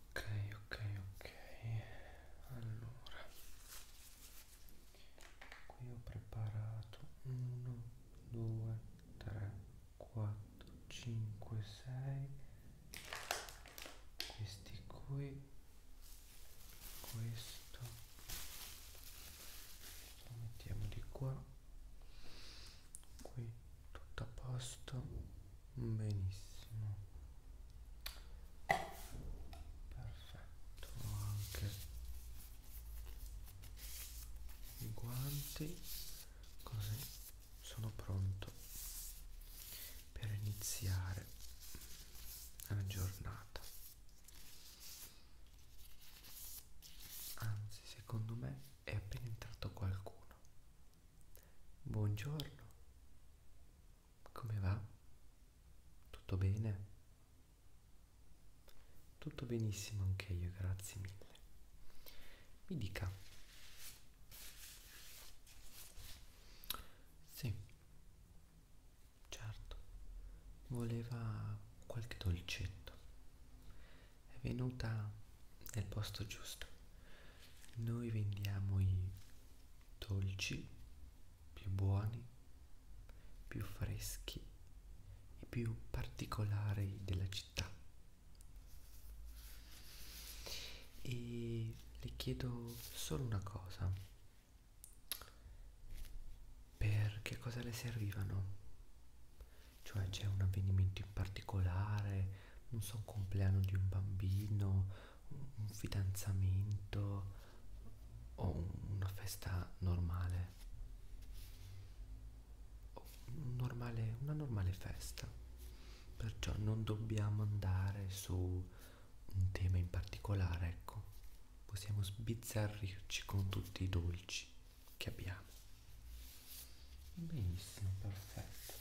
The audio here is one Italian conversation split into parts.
ok ok ok allora qui ho preparato 1 2 3 4 5 6 questi qui questo lo mettiamo di qua qui tutto a posto benissimo perfetto anche i guanti così sono pronto per iniziare la giornata anzi secondo me è appena entrato qualcuno. Buongiorno, come va? Tutto bene? Tutto benissimo anche io, grazie mille. Mi dica. Sì, certo. Voleva qualche dolcetto è venuta nel posto giusto. Noi vendiamo i dolci più buoni, più freschi e più particolari della città. E le chiedo solo una cosa. Per che cosa le servivano? cioè c'è un avvenimento in particolare, non so, un compleanno di un bambino, un, un fidanzamento o un, una festa normale. Un normale, una normale festa. Perciò non dobbiamo andare su un tema in particolare, ecco. Possiamo sbizzarrirci con tutti i dolci che abbiamo benissimo perfetto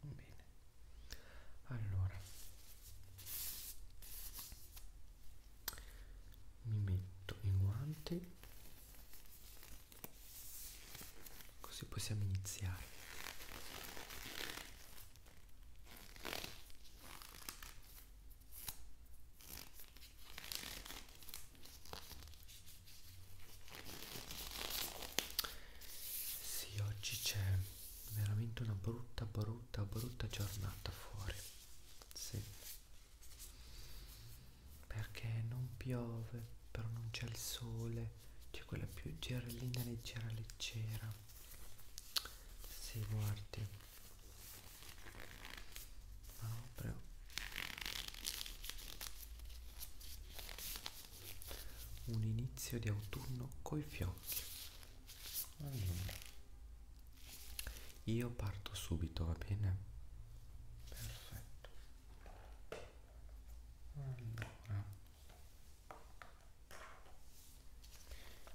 bene allora mi metto i guanti così possiamo iniziare sì, oggi c'è veramente una brutta, brutta, brutta giornata fuori. Sì. Perché non piove, però non c'è il sole, c'è cioè, quella più gerellina leggera leggera. Sì, guardi. No, prego. Un inizio di autunno coi fiocchi. Allora. Mm. Io parto subito, va bene? Perfetto. Allora.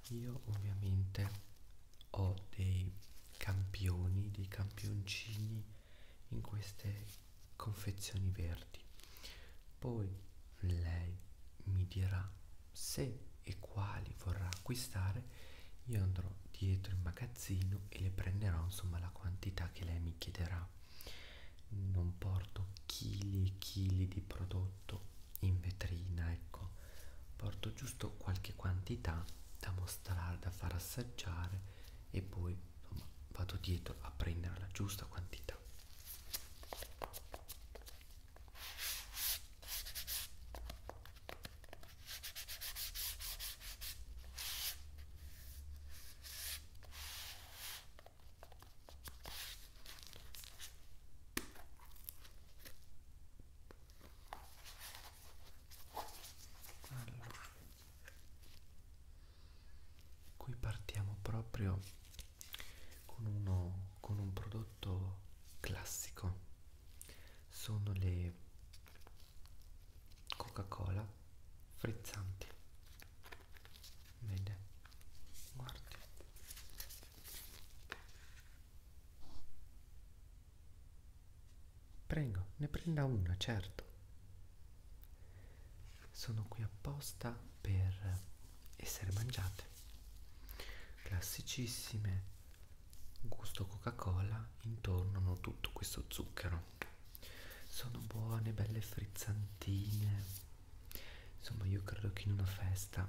Io ovviamente ho dei campioni, dei campioncini in queste confezioni verdi. Poi lei mi dirà se e quali vorrà acquistare. Io andrò dietro in magazzino e le prenderò insomma la quantità che lei mi chiederà. Non porto chili e chili di prodotto in vetrina, ecco porto giusto qualche quantità da mostrare, da far assaggiare e poi insomma, vado dietro a prendere la giusta quantità. Allora. Qui partiamo proprio con uno con un prodotto classico. Sono le Coca-Cola frizzanti. Vede? Guardi. Prego, ne prenda una, certo. Sono qui apposta per essere mangiate. Classicissime, gusto Coca-Cola, intorno hanno tutto questo zucchero. Sono buone, belle frizzantine. Insomma, io credo che in una festa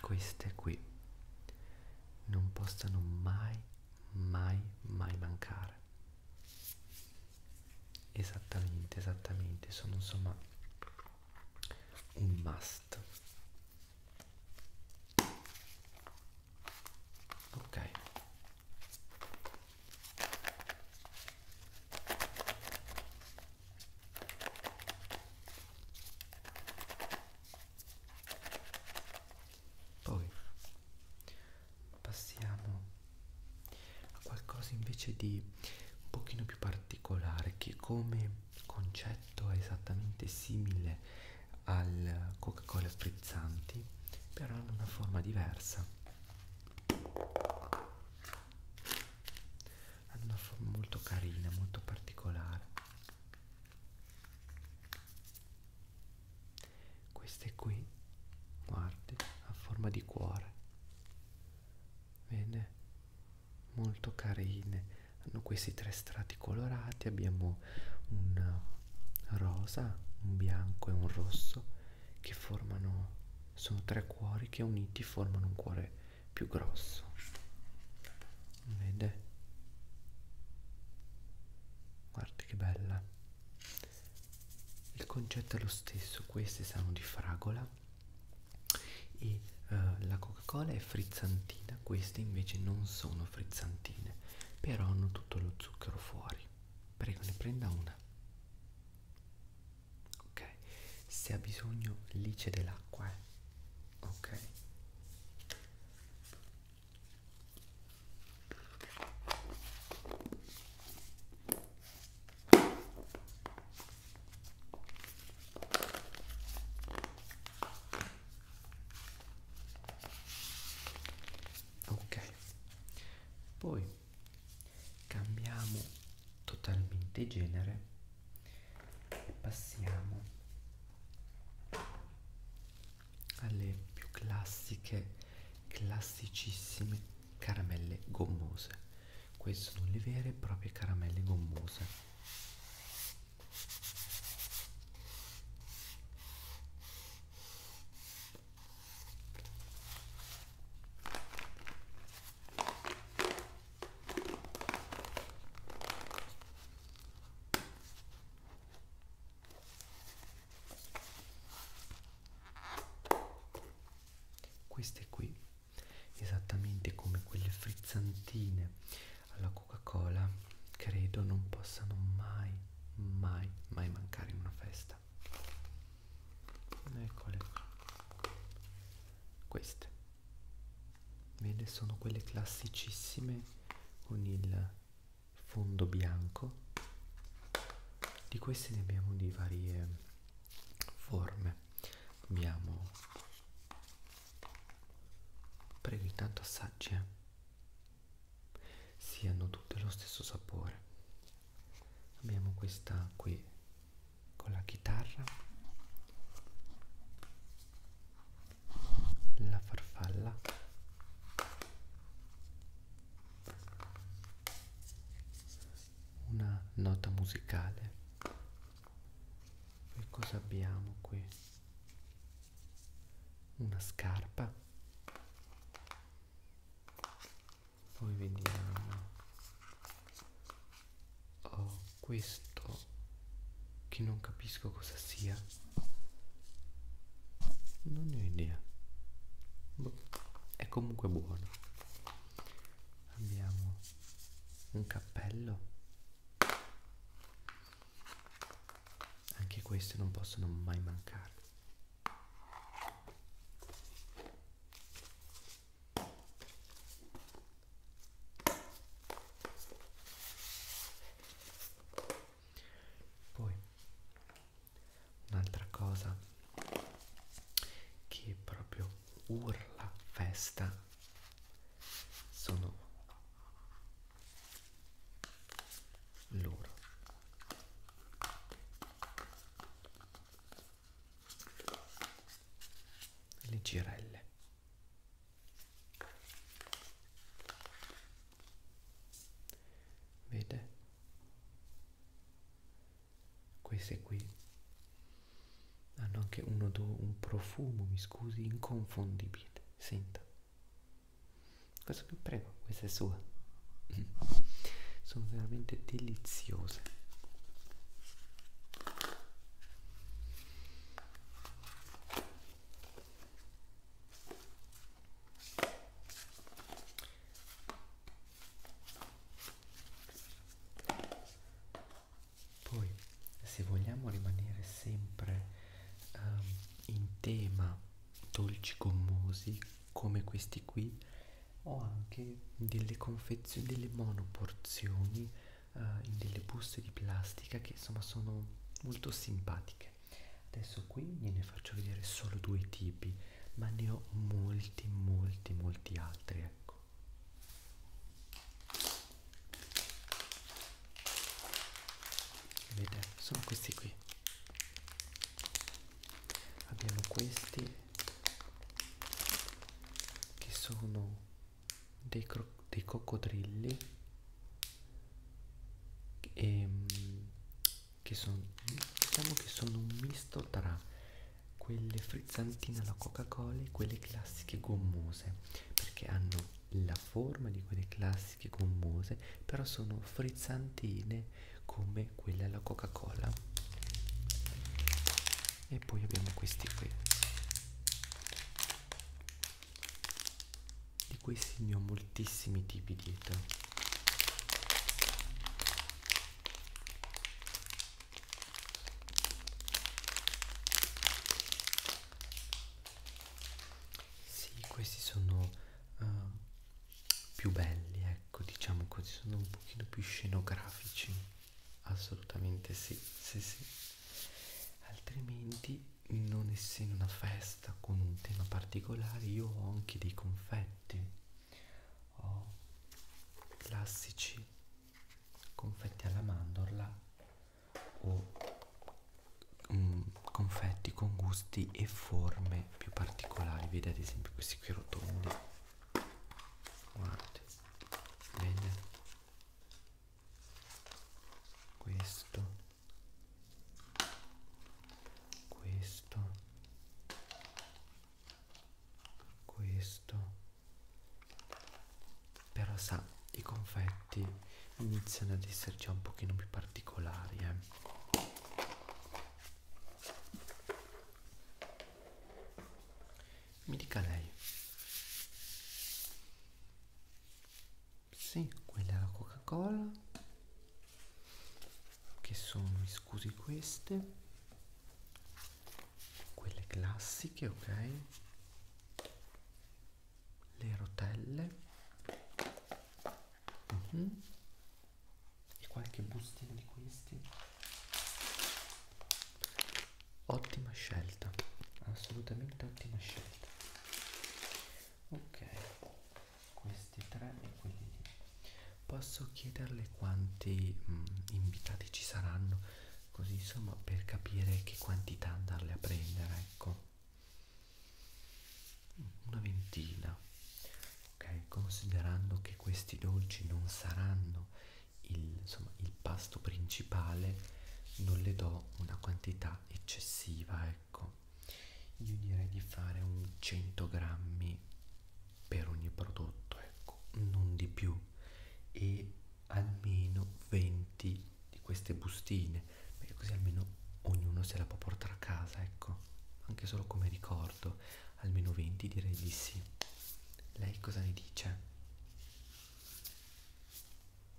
queste qui non possano mai mai mai mancare esattamente esattamente sono insomma un must ok poi passiamo a qualcosa invece di un pochino più particolare che come concetto è esattamente simile al Coca-Cola sprezzanti, però in una forma diversa hanno una forma molto carina, molto particolare. Queste qui, guardi, a forma di cuore. Vede? Molto carine. Hanno questi tre strati colorati, abbiamo un rosa, un bianco e un rosso che formano sono tre cuori che uniti formano un cuore più grosso vede guarda che bella il concetto è lo stesso queste sanno di fragola e uh, la coca cola è frizzantina queste invece non sono frizzantine però hanno tutto lo zucchero fuori prego ne prenda una ok se ha bisogno lì c'è dell'acqua eh? ok Ok, poi cambiamo totalmente genere e passiamo alle più classiche classicissime caramelle gommose queste sono le vere e proprie caramelle gommose queste qui, esattamente come quelle frizzantine alla Coca-Cola, credo non possano mai, mai, mai mancare in una festa. Eccole queste vede sono quelle classicissime con il fondo bianco di queste ne abbiamo di varie forme abbiamo prego intanto assaggi eh? si sì, hanno tutte lo stesso sapore abbiamo questa qui con la chitarra, la farfalla, una nota musicale. Poi cosa abbiamo qui? Una scarpa poi vediamo oh, questo che non capisco cosa sia non ne ho idea boh, è comunque buono abbiamo un cappello anche questi non possono mai mancare poi un'altra cosa che proprio urla festa sono loro le girelle vede queste qui hanno anche un, odore, un profumo mi scusi inconfondibile senta questo qui prego questa è sua sono veramente deliziose poi se vogliamo rimanere sempre um, in tema dolci gommosi come questi qui ho anche delle confezioni delle monoporzioni uh, in delle buste di plastica che insomma sono molto simpatiche adesso qui ne faccio vedere solo due tipi ma ne ho molti molti molti altri ecco vedete sono questi qui abbiamo questi che sono dei, dei coccodrilli e, ehm, che sono diciamo che sono un misto tra quelle frizzantine alla coca cola e quelle classiche gommose perché hanno la forma di quelle classiche gommose però sono frizzantine come quella alla coca cola e poi abbiamo questi qui di questi ne ho moltissimi tipi dietro sì questi sono uh, più belli ecco diciamo così sono un pochino più scenografici assolutamente sì sì sì altrimenti non essendo una festa con un tema particolare io ho anche dei confetti ho classici confetti alla mandorla o mm, confetti con gusti e forme più particolari vedete ad esempio questi qui rotondi guardate vedete questo questo questo però sa i confetti iniziano ad essere già un pochino più particolari eh mi dica lei. Sì, quella è la Coca-Cola. Che sono, mi scusi, queste. Quelle classiche, ok? Le rotelle uh mm? -huh. e qualche bustino di questi ottima scelta assolutamente ottima scelta ok questi tre e quelli lì posso chiederle quanti mh, mm, invitati ci saranno così insomma per capire che quantità andarle a prendere ecco una ventina ok considerando che questi dolci non saranno il, insomma, il pasto principale non le do una quantità eccessiva ecco io direi di fare un 100 grammi per ogni prodotto ecco non di più e almeno 20 di queste bustine, perché così almeno ognuno se la può portare a casa, ecco, anche solo come ricordo, almeno 20 direi di sì. Lei cosa ne dice?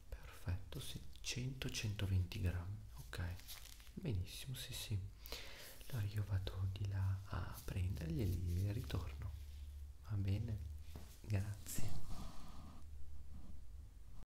Perfetto, sì, 100-120 grammi, ok, benissimo, sì sì. Allora io vado di là a prenderli e ritorno, va bene? Grazie.